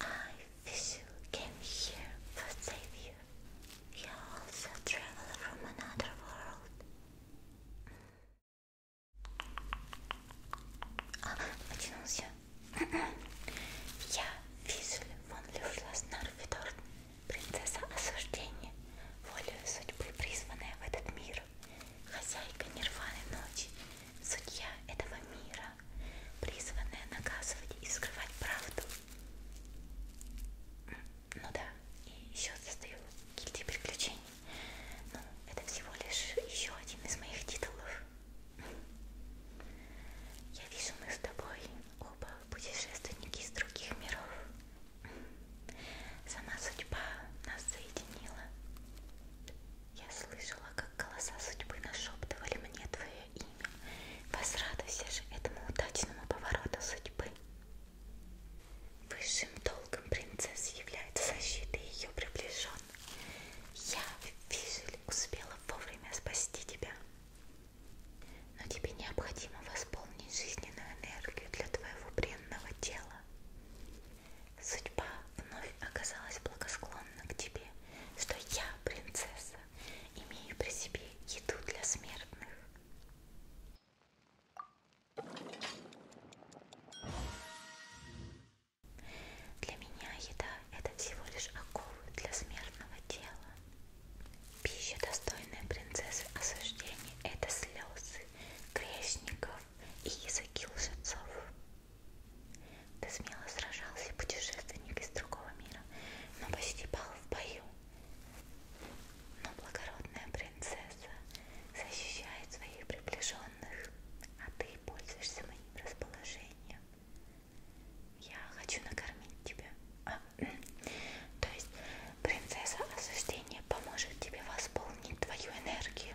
I Visu came here for savior. You are also a traveler from another world. А, потянулся. Я Визуль вон Люфла Снарфидорн, принцесса осуждения, волею судьбы призванная в этот мир, хозяйка нирваны ночи, судья этого мира призванная наказывать и скрывать правду. Ну да, и еще состою гильдии приключений. Ну, это всего лишь еще один из моих титулов. Я вижу, мы с тобой оба путешественники из других миров. Сама судьба нас соединила. Я слышала, как голоса судьбы нашептывали мне твое имя. Возрадуйся же этому удачному повороту судьбы. Высшим долгом принцессы является защита ее приближенных. Я, Вижель, успела вовремя спасти тебя. Но тебе необходимо восполнить жизненную энергию для твоего бренного тела. Судьба вновь оказалась благосклонна к тебе что я, принцесса, имею при себе еду для смертных. Для меня еда – это всего лишь оковы для смертного тела. Пища, достойная принцессы осуждения – это слезы грешников и языки лжецов. Ты смело сражался, путешественник из другого мира, но почти пал в бою. Но благородная принцесса защищает своих приближенных, а ты пользуешься моим расположением. Я хочу накормить тебя. А, то есть принцесса осуждения поможет тебе восполнить твою энергию.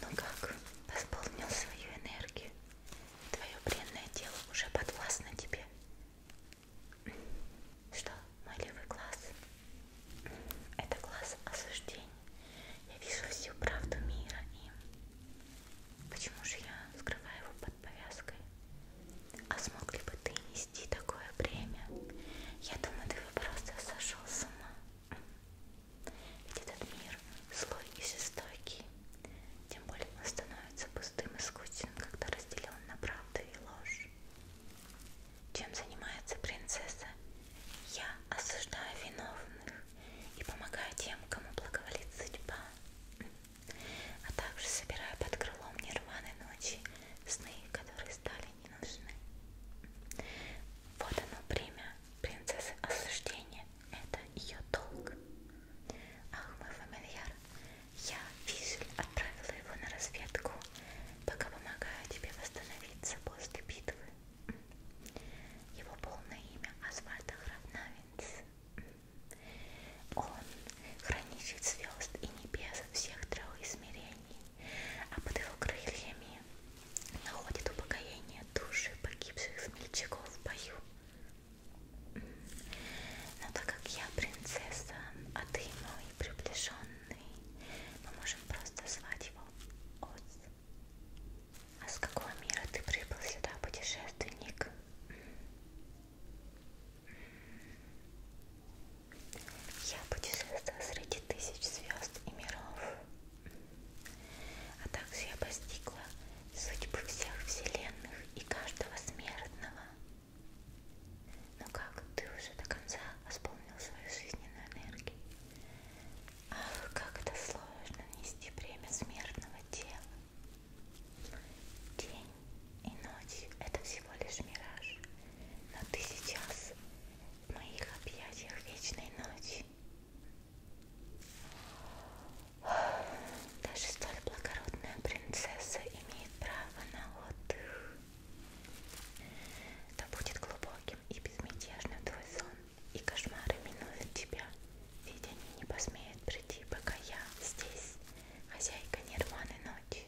Ну как, восполнил свою энергию? Твое бренное тело уже подвластно тебе. Что, мой левый глаз? Это глаз осуждений. Я вижу всю правду мира им. Почему же я скрываю его под повязкой? А смог ли бы ты не нести такое бремя. Я думаю, ты бы просто сошел с ума. Ведь этот мир злой и жестокий. Тем более он становится пустым и скучным, когда разделен на правду и ложь. Чем занимается принцесса? Я осуждаю виновных и помогаю тем, кому благоволит судьба. А также собираю под крылом нерваной ночи сны, которые стали мне не нужны. Вот оно время принцессы осуждения. Это ее долг. Ахмы фамильяр, я, Визель, отправила его на разведку, пока помогаю тебе восстановиться после битвы. Его полное имя Асфальт Хравнавинс. Он хранитель звезд и небес всех трех измерений а под его крыльями находит упокоение души погибших смельчаков в бою. Но так как я принцесса, а ты мой приближенный, мы можем просто звать его Оз. А с какого мира ты прибыл сюда, путешественник? Я путешествовала среди тысяч звезд и миров, а также я постигла судьбы всех вселенных и каждого смертного. Но как ты уже до конца восполнил свою жизненную энергию? Ах, как это сложно нести бремя смертного тела. День и ночь — это всего лишь мираж, но ты сейчас в моих объятиях вечной ночи. Даже столь благородная принцесса имеет право на отдых. Да будет глубоким и безмятежным твой сон, и кошмары минуют тебя, ведь они не посмеют прийти, пока я здесь, хозяйка нерваны ночи.